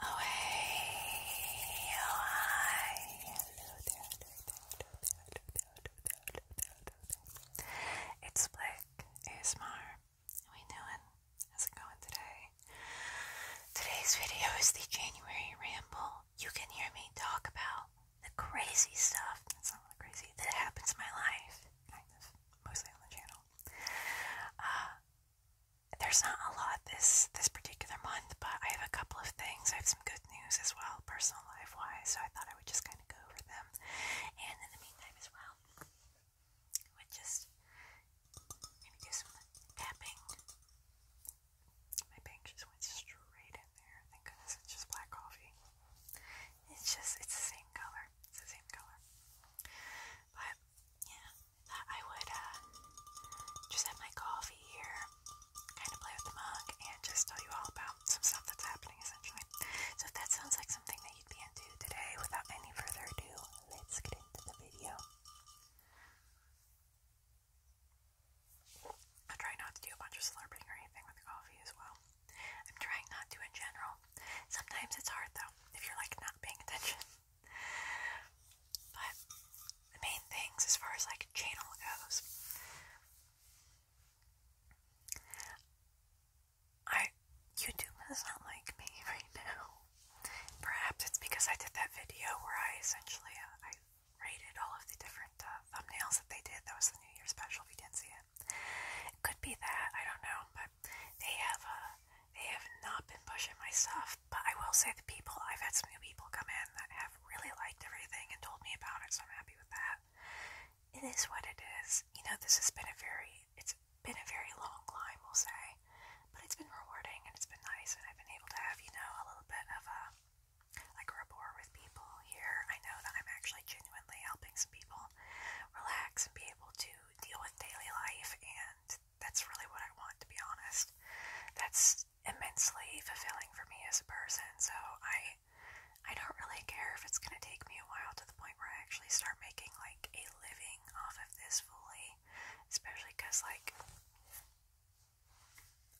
Oh hey, oh hi, hello there, hello there, hello there, hello there, hello there. It's Blake ASMR. How you How's it going today? Today's video is the January ramble. You can hear me talk about the crazy stuff. That's not really crazy. That happens in my life, kind of, mostly on the channel. Uh, there's not a lot this this particular month, but I have a couple of things. I have some good news as well, personal life wise, so I thought I would just kind of go over them. And in the meantime as well, I would just maybe do some tapping. My bank just went straight in there. Thank goodness it's just black coffee. It's just it's the same color. It's the same color. But yeah, I would uh, just have my coffee here, kind of play with the mug, and just tell you all about some stuff that's happening essentially. So if that sounds like something that you'd be into today, without any further ado, let's get into the video. I try not to do a bunch of slurping or anything with the coffee as well. I'm trying not to in general. Sometimes it's hard though, if you're like not paying attention. But the main things as far as like channel goes, I YouTube does not like me right now. Perhaps it's because I did that video where I essentially uh, I rated all of the different uh, thumbnails that they did. That was the New Year special. If you didn't see it, it could be that I don't know, but they have a. Uh, they have not been pushing my stuff, but I will say the people, I've had some new people come in that have really liked everything and told me about it, so I'm happy with that. It is what it is. You know, this has been a very, it's been a very long climb, we'll say, but it's been rewarding and it's been nice, and I've been able to have, you know, a little bit of a, like rapport with people here. I know that I'm actually genuinely helping some people relax and be able to deal with daily life and that's really what I want, to be honest. That's immensely fulfilling for me as a person, so I I don't really care if it's gonna take me a while to the point where I actually start making like a living off of this fully, especially because like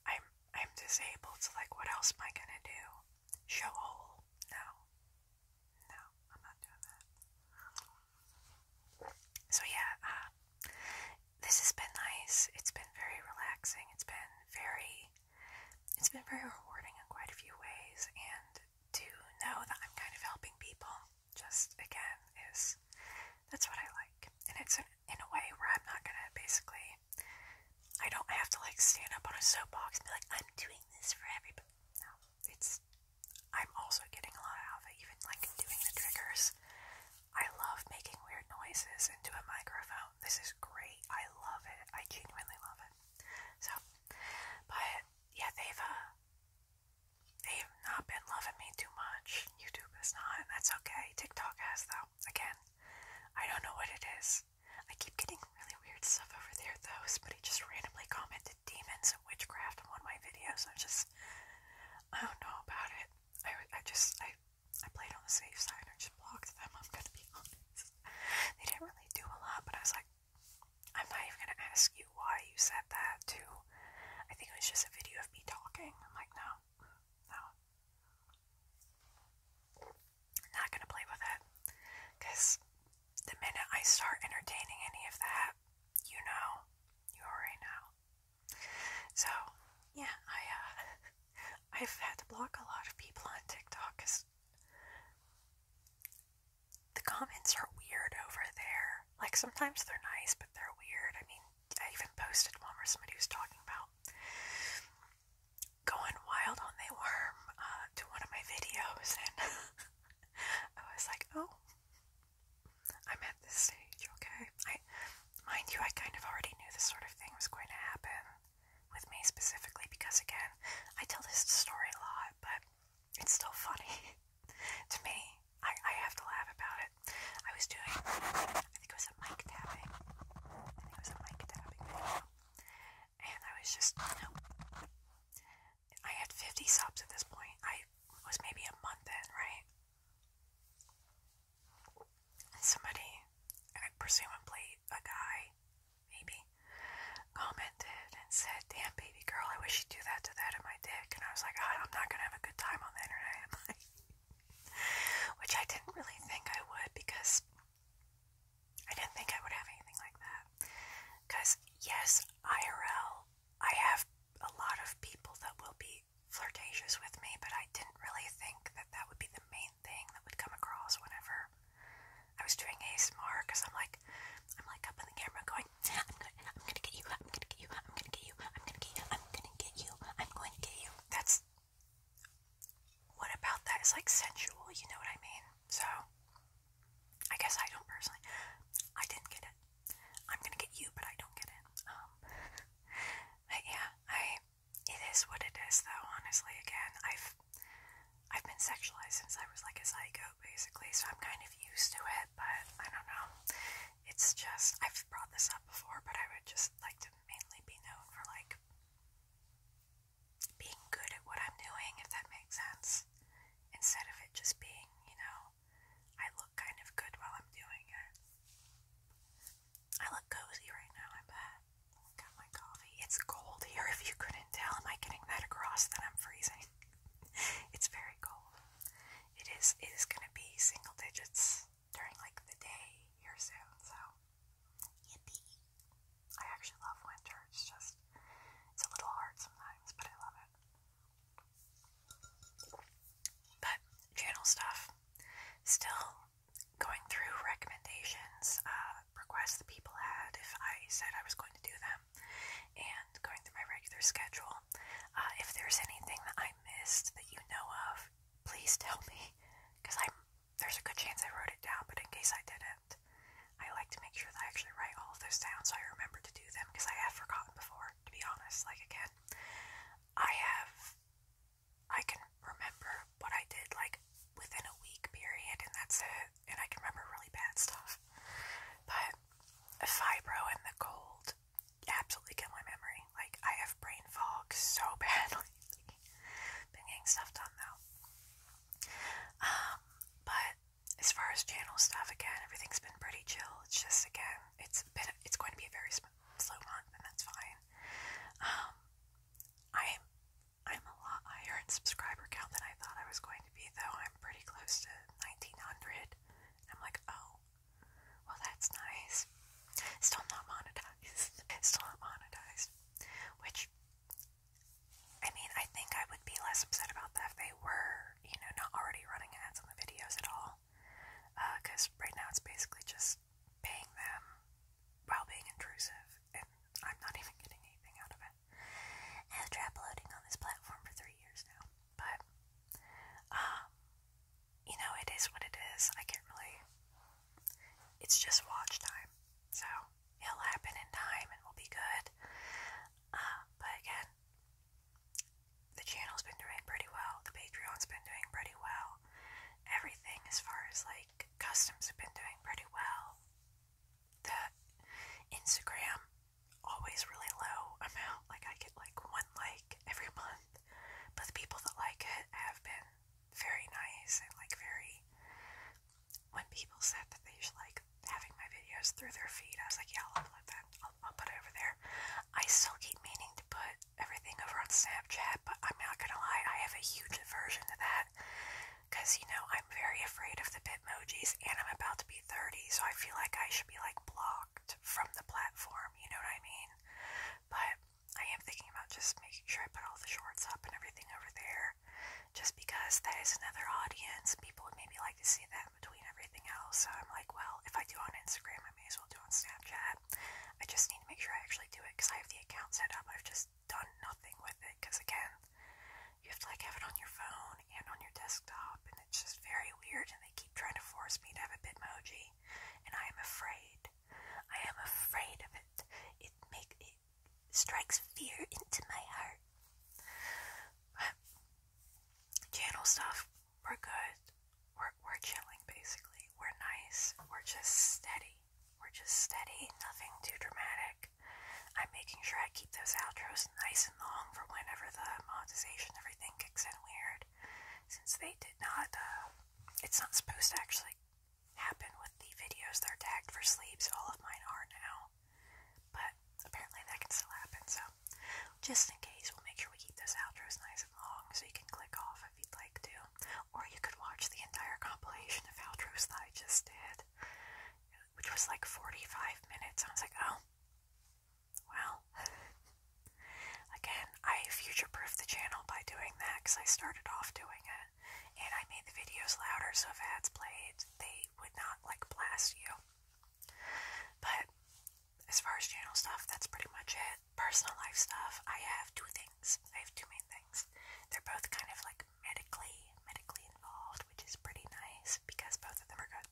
I'm I'm disabled, so like what else am I gonna do? Show hole? No, no, I'm not doing that. So yeah, uh, this has been nice. It's been very relaxing. It's been very, it's been very rewarding in quite a few ways. And to know that I'm kind of helping people, just again, is that's what I like. And it's in a way where I'm not gonna basically, I don't have to like stand up on a soapbox and be like, I'm doing this for everybody. No, it's I'm also getting a lot out of it, even like doing the triggers. I love making weird noises into a microphone. This is great. I love it. I genuinely love it. So, but yeah, they've uh, they've not been loving me too much. YouTube is not. That's okay. TikTok has though. Again, I don't know what it is. I keep getting really weird stuff over there though. Somebody just randomly commented demons and witchcraft on my videos. I'm just I don't know about it. I, I just, I, I played on the safe side. I just blocked them. I'm gonna be honest. They didn't really do a lot, but I was like, I'm not even gonna ask you why you said that. To, I think it was just a video of me talking. I'm like, no, no, not gonna play with it, because the minute I start entertaining any of that, you know, you already know. So, yeah, I uh, I've had to block a lot of people on TikTok because the comments are weird over there. Like sometimes they're nice, but they're weird. I mean, I even posted one where somebody was talking about going wild on they worm uh, to one of my videos, and I was like, oh, I'm at this stage, okay? I mind you, I kind of already knew this sort of thing was going to happen with me specifically because again, I tell this story a lot, but it's still funny to me. I, I have to laugh about it. I was doing I think it was a mic tapping. I think it was a mic tapping video. And I was just you know, I had 50 subs at this point. I was maybe a month in, right? Somebody, uh, presumably a guy, maybe, commented and said, Damn, baby girl, I wish you'd do that to that in my dick. And I was like, oh, I'm not going to have a good time on the internet, am I? Which I didn't really think I would because I didn't think I would have anything like that. Because, yes, IRL, I have a lot of people that will be flirtatious with me, but I didn't really think that that would be the main thing that would come across whenever I was doing ASMR. Cause I'm like, I'm like up on the camera going, I'm gonna, I'm gonna get you, I'm gonna get you, I'm gonna get you, I'm gonna get you, I'm gonna get you, I'm going to get you. That's what about that is like sensual, you know what I mean? So I guess I don't personally. I didn't get it. I'm gonna get you, but I don't get it. Um, but yeah, I. It is what it is, though. Honestly, again, I've I've been sexualized since I was like a psycho, basically. So I'm kind of used to it, but I don't know. It's just I've brought this up before, but I would just like to mainly be known for like being good at what I'm doing, if that makes sense, instead of it just being, you know, I look kind of good while I'm doing it. I look cozy right now, I bet. Got my coffee. It's cold here, if you couldn't tell. Am I getting that across that I'm freezing? it's very cold. It is it is gonna be single digits during like the day here soon, so yippee. I actually love winter, it's just it's a little hard sometimes, but I love it. But channel stuff. Still going through recommendations, uh, requests that people had if I said I was going to do them, and going through my regular schedule. Uh, if there's anything that I missed that you know of, please tell me, because i there's a good chance I wrote it down, but in case I didn't, I like to make sure that I actually write all of this down so I remember to do them because I have forgotten before, to be honest. Like again, I have I can remember what I did like within a week period, and that's it. And I can remember really bad stuff. But fibro and the cold absolutely kill my memory. Like, I have brain fog so badly. getting stuff done though. Um, but as far as channel stuff, again, everything's been pretty chill. It's just, again, it it's going to be a very flu month, and that's fine. Um, i I'm a lot higher in subscriber count than I thought I was going to be, though. I'm pretty close to 1,900. I'm like, oh, well, that's nice. Still not monetized. Still not monetized. Which, I mean, I think I would be less upset about that if they were, you know, not already running ads on the videos at all. Because uh, right now it's basically just paying them while being intrusive, and I'm not even getting anything out of it. after uploading on this platform for three years now, but um, you know it is what it is. I can't really. It's just watch time, so it'll happen in time and we'll be good. Uh, but again, the channel's been doing pretty well, the Patreon's been doing pretty well, everything as far as like customs have been doing pretty well. The Instagram always really low amount, like I get like one like every month, but the people that like it have been very nice and like very. When people said that they should like having my videos through their feed, I was like, yeah, I'll upload that. I'll, put it over there. I still keep meaning to to put everything over on Snapchat, but I'm not gonna lie, I have a huge aversion to that. Because, you know, I'm very afraid of the Bitmojis and I'm about to be 30, so I feel like I should be, like, blocked from the platform, you know what I mean? But I am thinking about just making sure I put all the shorts up and everything over there, just because that is another audience. People would maybe like to see that between everything else, so I'm like, well, if I do on Instagram, I may as well do on Snapchat. I just need to make sure I actually do it because I have the account set up. I've just done nothing with it because, again, you have to like have it on your phone and on your desktop, and it's just very weird. And they keep trying to force me to have a Bitmoji, and I am afraid. I am afraid of it. It make it strikes fear into my heart. channel stuff we're good. We're, we're chilling, basically. We're nice. We're just steady. We're just steady, nothing too dramatic. I'm making sure I keep those outros nice and long for whenever the monetization everything kicks in weird. Since they did not, uh, it's not supposed to actually happen with the videos they are tagged for sleep, so all of mine are now. But apparently that can still happen, so just in case, we'll make sure we keep those outros nice and long so you can click off if you'd like to. Or you could watch the entire compilation of outros that I just did, which was like 45 minutes. I was like, oh, well. Again, I future proofed the channel by doing that because I started off doing it. And I made the videos louder so if ads played, they would not like blast you. But as far as channel stuff, that's pretty much it personal life stuff, I have two things. I have two main things. They're both kind of like medically, medically involved, which is pretty nice because both of them are good.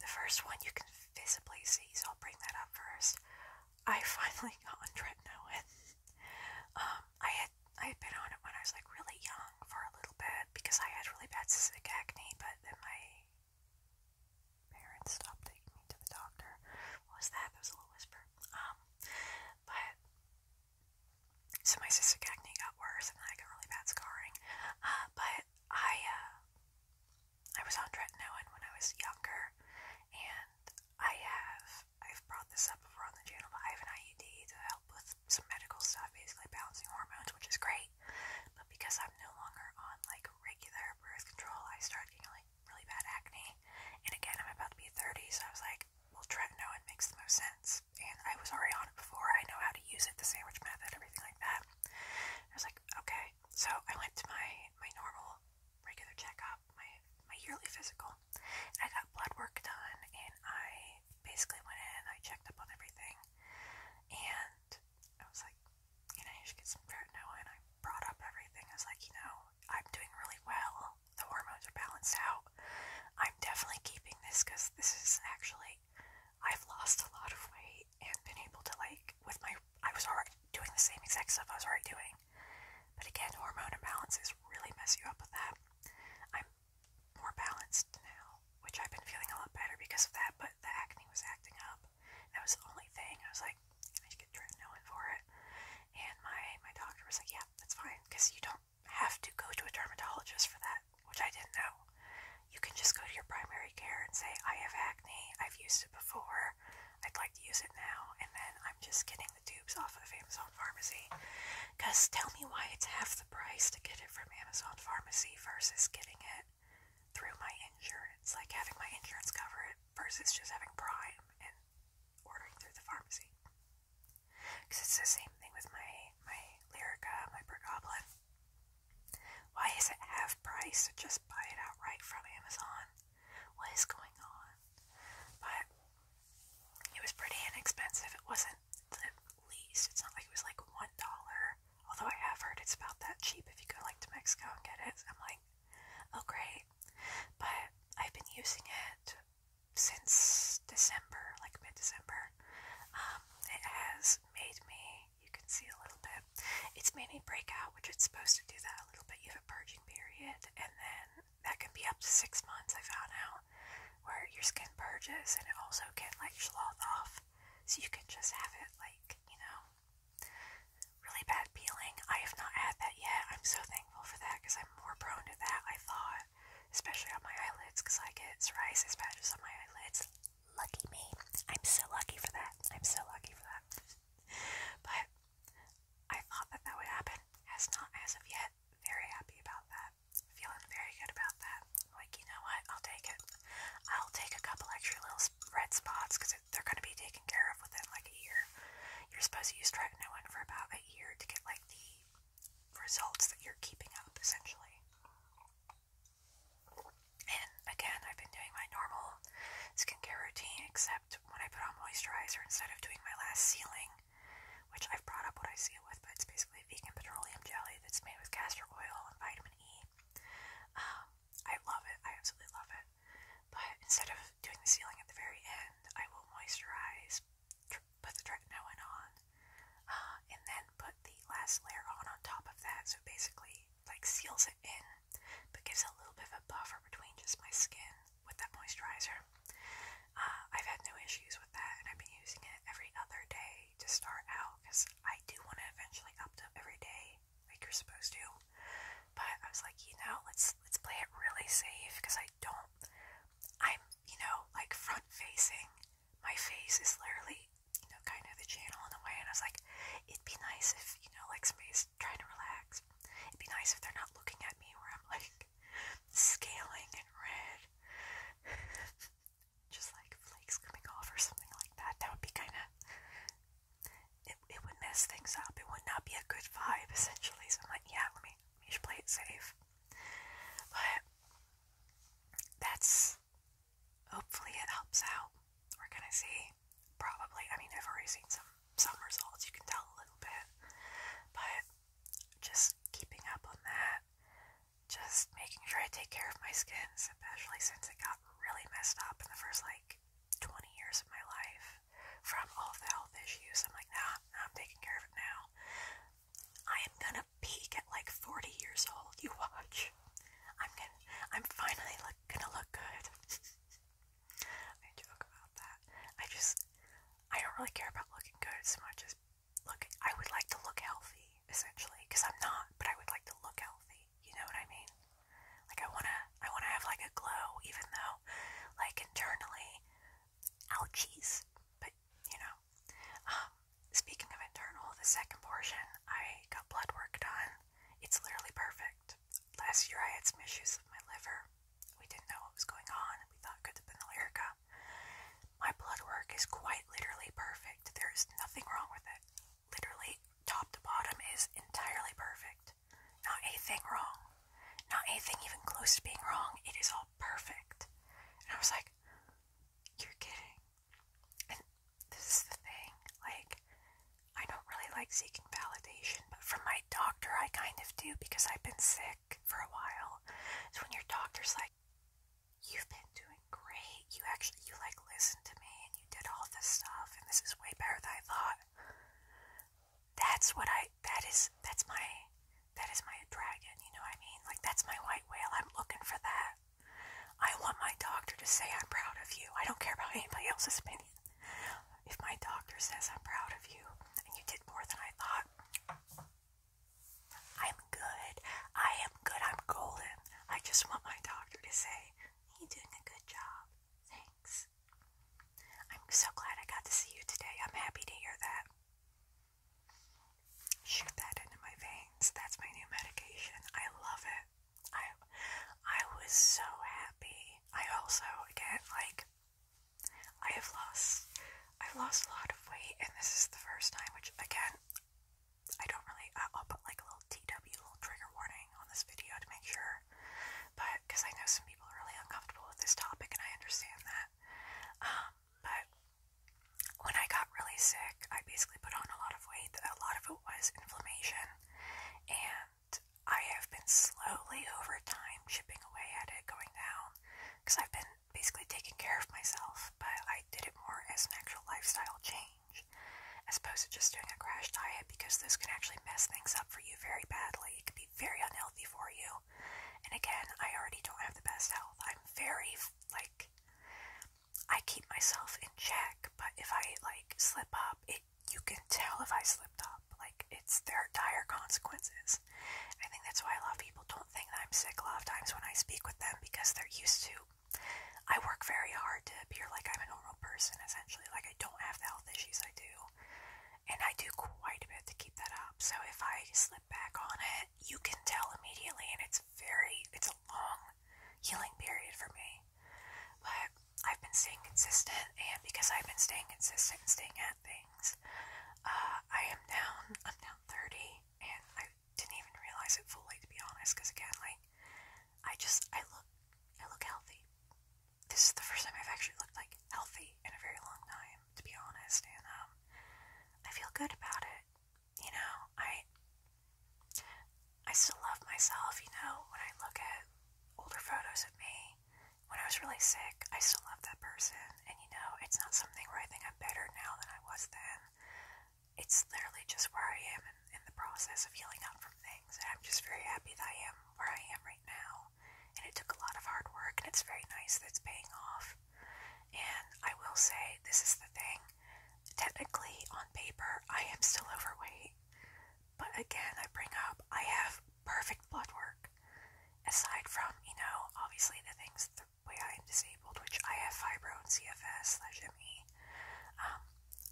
The first one you can visibly see, so I'll bring that up first. I finally got on tretinoin. um, I had I had been on it when I was like really young for a little bit because I had really bad cystic acne, but then my parents stopped taking me to the doctor. What was that? There was a little whisper. Um, but so my cystic acne got worse, and I got really bad scarring. Uh, but I uh, I was on tretinoin when I was younger, and I have I've brought this up before on the channel, but I have an IUD to help with some medical stuff, basically balancing hormones, which is great. But because I'm no longer on like regular birth control, I start getting like really bad acne. And again, I'm about to be 30, so I was like, well, tretinoin makes the most sense. And I was already on it before. I know how to use it, the sandwich method, everything like that. And I was like, okay. So I went to my, my normal, regular checkup, my, my yearly physical. And I got blood work done, and I basically went in, I checked up on everything. And I was like, you know, you should get some tretinoin. I brought up everything. I was like, you know, I'm doing really well. The hormones are balanced out. I'm definitely keeping this because this is actually, I've lost a lot of weight and been able to, like, with my, I was already doing the same exact stuff I was already doing. But again, hormone imbalances really mess you up with that. I'm more balanced now, which I've been feeling a lot better because of that, but the acne was acting up. That was the only thing. I was like, like, I should get tretinoin for it. And my, my doctor was like, yeah, that's fine, because you don't have to go to a dermatologist for that, which I didn't know. You can just go to your primary care and say, I have acne, I've used it before, I'd like to use it now, and then I'm just getting the tubes off of Amazon Pharmacy. Because tell me why it's half the price to get it from Amazon Pharmacy versus getting it through my insurance, like having my insurance cover it versus just having Prime and ordering through the pharmacy. Because it's the same thing with my, my Lyrica, my Bergoblin. Why is it half price? Just buy it outright from Amazon. What is going on? But it was pretty inexpensive. It wasn't the least. It's not like it was like $1. Although I have heard it's about that cheap if you go like to Mexico and get it. I'm like, oh great but I've been using it since December, like mid December. Um, it has made me, you can see a little bit, it's made me break out, which it's supposed to do that a little bit. You have a purging period, and then that can be up to six months, I found out, where your skin purges and it also can like slough off. So you can just have it like, you know, really bad peeling. I have not had that yet. I'm so thankful for that because I'm more prone to that, I thought, especially on my eyelids because I get psoriasis patches on my eyelids. Lucky me. I'm so lucky for that. I'm so lucky for that. but I thought that that would happen. Has not as of yet. Very happy about that. Feeling very good about that. Like, you know what? I'll take it. I'll take a couple extra little red spots because they're going to be taken care of within like a year. You're supposed to use tretinoin for about a year to get like the results that you're keeping up essentially. And again, I've been doing my normal skincare routine except when I put on moisturizer instead of doing my last sealing, which I've brought up what I seal with, but it's basically vegan petroleum jelly that's made with castor oil and vitamin E. Um, I love it. I absolutely love it. But instead of doing the ceiling at the very end, I will moisturize, put the tretinoin on, uh, and then put the last layer on on top of that. So basically, like seals it in, but gives a little bit of a buffer between just my skin with that moisturizer. Uh, I've had no issues with that, and I've been using it every other day to start out because I do want to eventually up to every day, like you're supposed to. But I was like, you know, let's let's play it really safe because I don't. I'm you know like front facing. My face is literally you know kind of the channel in a way, and I was like, it'd be nice if you know like somebody's trying to relax. It'd be nice if they're not looking at me where I'm like scaling and red. just like flakes coming off or something like that. That would be kind of it, it would mess things up. It would not be a good vibe, essentially. So I'm like, yeah, let me, you should play it safe. But that's hopefully it helps out. We're gonna see. Probably, I mean, I've already seen some some results. You can tell a little bit, but just keeping up on that, just making sure I take care of my skin, especially since it got really messed up in the first like 20 years of my life from all the health issues. I'm like, nah, I'm taking care of it now. I am gonna peak at like 40 years old. You watch. I'm gonna, I'm finally look, gonna look good. I joke about that. I just, I don't really care about looking good as much as looking. I would like to look healthy, essentially, because I'm not. But I would like to look healthy. You know what I mean? Like I wanna, I wanna have like a glow, even though, like internally, Ouchies. But, you know. Um, speaking of internal, the second portion, I got blood work done. It's literally perfect. Last year I had some issues with my liver. We didn't know what was going on. We thought it could have been the Lyrica. My blood work is quite literally perfect. There's nothing wrong with it. Literally, top to bottom is entirely perfect. Not a thing wrong. Not a thing even close to being wrong. It is all perfect. And I was like, you're kidding. And this is the thing. Like, I don't really like seeking validation, but from my doctor, I kind of do because I've been sick for a while. So when your doctor's like, you've been doing great, you actually, you like listened to me and you did all this stuff and this is way better than I thought. That's what I. That is. That's my. That is my dragon. You know what I mean? Like that's my white whale. I'm looking for that. I want my doctor to say I'm proud of you. I don't care about anybody else's opinion. If my doctor says I'm proud of you and you did more than I thought, I'm good. I am good. I'm golden. I just want my doctor to say, You're doing a good job. Thanks. I'm so glad I got to see you today. I'm happy to hear that. Shoot that into my veins. That's my new medication. I love it. I I was so happy. I also again like I have lost I've lost a lot of weight and this is the first time which again I don't really I'll put like a little TW little trigger warning on this video to make sure. But because I know some people are really uncomfortable with this topic and I understand that. Um, but when I got really sick, I basically put on a lot of weight. A lot of it was inflammation, and I have been slowly over time chipping away at it going down because I've been basically taking care of myself, but I did it more as an actual lifestyle change as opposed to just doing a crash diet because this can actually mess things up for you very badly. It can be very unhealthy for you. And again, I already don't have the best health. I'm very, like, I keep myself in check, but if I, like, slip up, it you can tell if I slipped up. Like, it's there are dire consequences. I think that's why a lot of people don't think that I'm sick a lot of times when I speak with them because they're used to. I work very hard to appear like I'm a normal person, essentially. Like, I don't have the health issues I do and I do quite a bit to keep that up. So if I slip back on it, you can tell immediately, and it's very, it's a long healing period for me. But I've been staying consistent, and because I've been staying consistent and staying at things, uh, I am down. I'm down 30, and I didn't even realize it fully, to be honest. Because again, like I just I look, I look healthy this is the first time I've actually looked like healthy in a very long time, to be honest, and um, I feel good about it. You know, I I still love myself. You know, when I look at older photos of me when I was really sick, I still love that person, and you know, it's not something where I think I'm better now than I was then. It's literally just where I am in, in the process of healing up from things, and I'm just very happy that I am where I am right now and it took a lot of hard work, and it's very nice that it's paying off. And I will say, this is the thing technically, on paper, I am still overweight, but again, I bring up I have perfect blood work aside from, you know, obviously the things the way I am disabled, which I have fibro and CFS slash ME, um,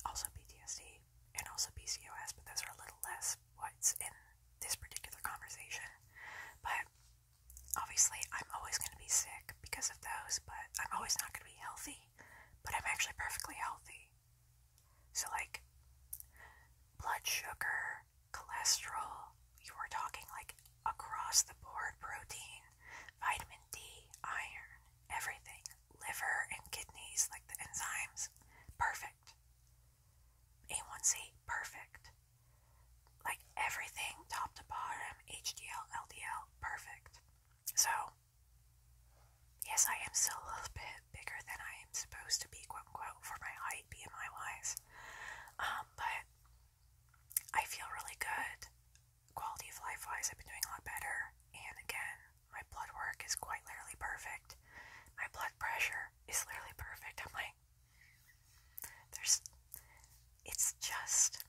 also PTSD and also PCOS, but those are a little less what's in this particular conversation. But obviously, I'm always going to be sick because of those, but I'm always not going to be healthy. But I'm actually perfectly healthy. So, like, blood sugar, cholesterol, you were talking like across the board protein, vitamin D, iron, everything, liver and kidneys, like the enzymes. Perfect. A1C, perfect. Like everything, top to bottom, HDL, LDL, perfect. So, yes, I am still a little bit bigger than I am supposed to be, quote unquote, for my height, BMI wise. Um, but I feel really good. Quality of life wise, I've been doing a lot better. And again, my blood work is quite literally perfect. My blood pressure is literally perfect. I'm like, there's it's just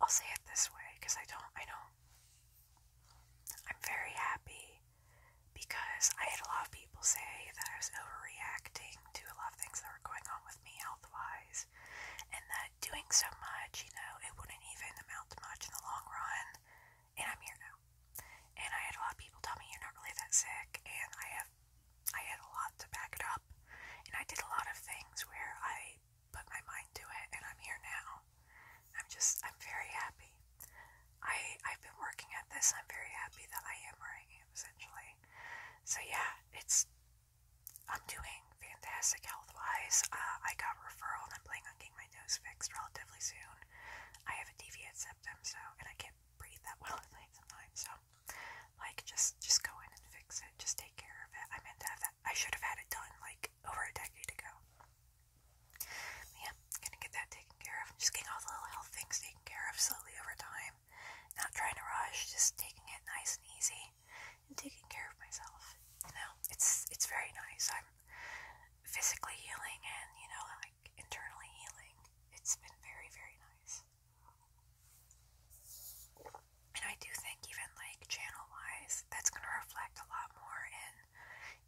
I'll say it this way because I don't I do I'm very happy because I had a lot of people say that I was overreacting to a lot of things that were going on with me health wise and that doing so much, you know, it wouldn't even amount to much in the long run and I'm here now. And I had a lot of people tell me you're not really that sick, and I have I had a lot to back it up, and I did a lot of things where I put my mind to it, and I'm here now. I'm just I'm very happy. I I've been working at this. I'm very happy that I am where I am essentially. So yeah, it's I'm doing fantastic health wise. Uh, I got referral and I'm planning not getting my nose fixed relatively soon. I have a deviated septum, so and I can't breathe that well at night sometimes. So, like, just just go in and fix it. Just take care of it. I meant to have that. I should have had it done like over a decade ago. yeah, gonna get that taken care of. just getting all the little health things taken care of slowly over time. Not trying to rush. Just taking it nice and easy and taking care of myself. You know, it's it's very nice. I'm physically healing and you know internally healing. It's been very, very nice. And I do think, even like channel wise, that's going to reflect a lot more in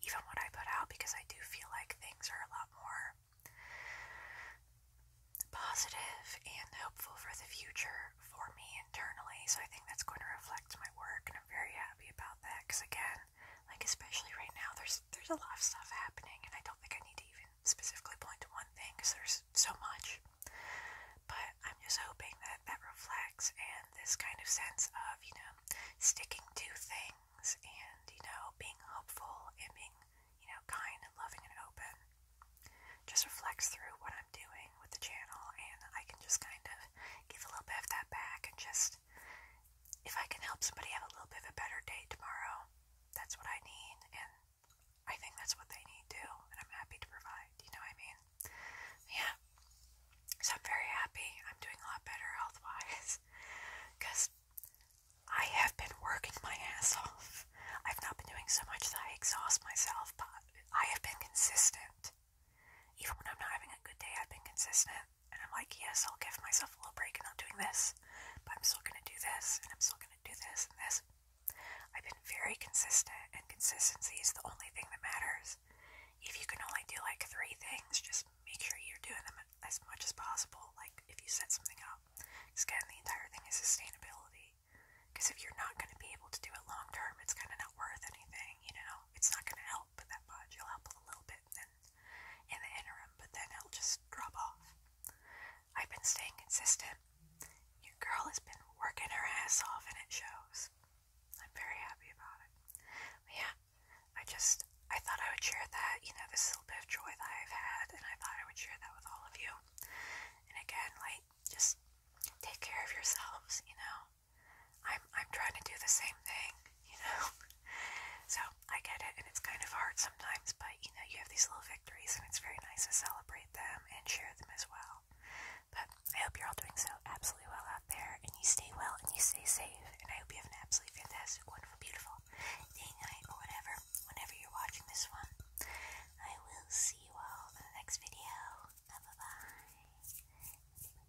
even what I put out because I do feel like things are a lot more positive and hopeful for the future for me internally. So I think that's going to reflect my work, and I'm very happy about that because, again, like especially right now, there's there's a lot of stuff happening, and I don't think I need to even specifically point to one thing because there's so much. But I'm just hoping that that reflects and this kind of sense of, you know, sticking to things and, you know, being hopeful and being, you know, kind and loving and open just reflects through what I'm doing with the channel, and I can just kind of give a little bit of that back and just if I can help somebody have a little bit of a better day tomorrow, that's what I need, and I think that's what they need too, and I'm happy to provide, you know what I mean? Yeah. So I'm very happy. I'm doing a lot better health wise because I have been working my ass off. I've not been doing so much that I exhaust myself, but I have been consistent. Even when I'm not having a good day, I've been consistent. And I'm like, yes, I'll give myself a little break and I'm doing this, but I'm still going to do this, and I'm still going to do this and this. I've been very consistent, and consistency is the only thing that matters. If you can only do like three things, just make sure you're doing them as much as possible. Like if you set something up, because again, the entire thing is sustainability. Because if you're not going to be able to do it long term, it's kind of not worth anything, you know? It's not going to help that much. You'll help a little bit in the interim, but then it'll just drop off. I've been staying consistent. Your girl has been working her ass off and it shows. I'm very happy about it. yeah, I just I thought I would share that, you know, this little bit of joy that I've had and I thought I would share that with all of you. And again, like just take care of yourselves, you know. I'm I'm trying to do the same thing you know? So I get it, and it's kind of hard sometimes, but you know, you have these little victories, and it's very nice to celebrate them and share them as well. But I hope you're all doing so absolutely well out there, and you stay well and you stay safe, and I hope you have an absolutely fantastic, wonderful, beautiful day, night, or whatever, whenever you're watching this one. I will see you all in the next video. Bye bye.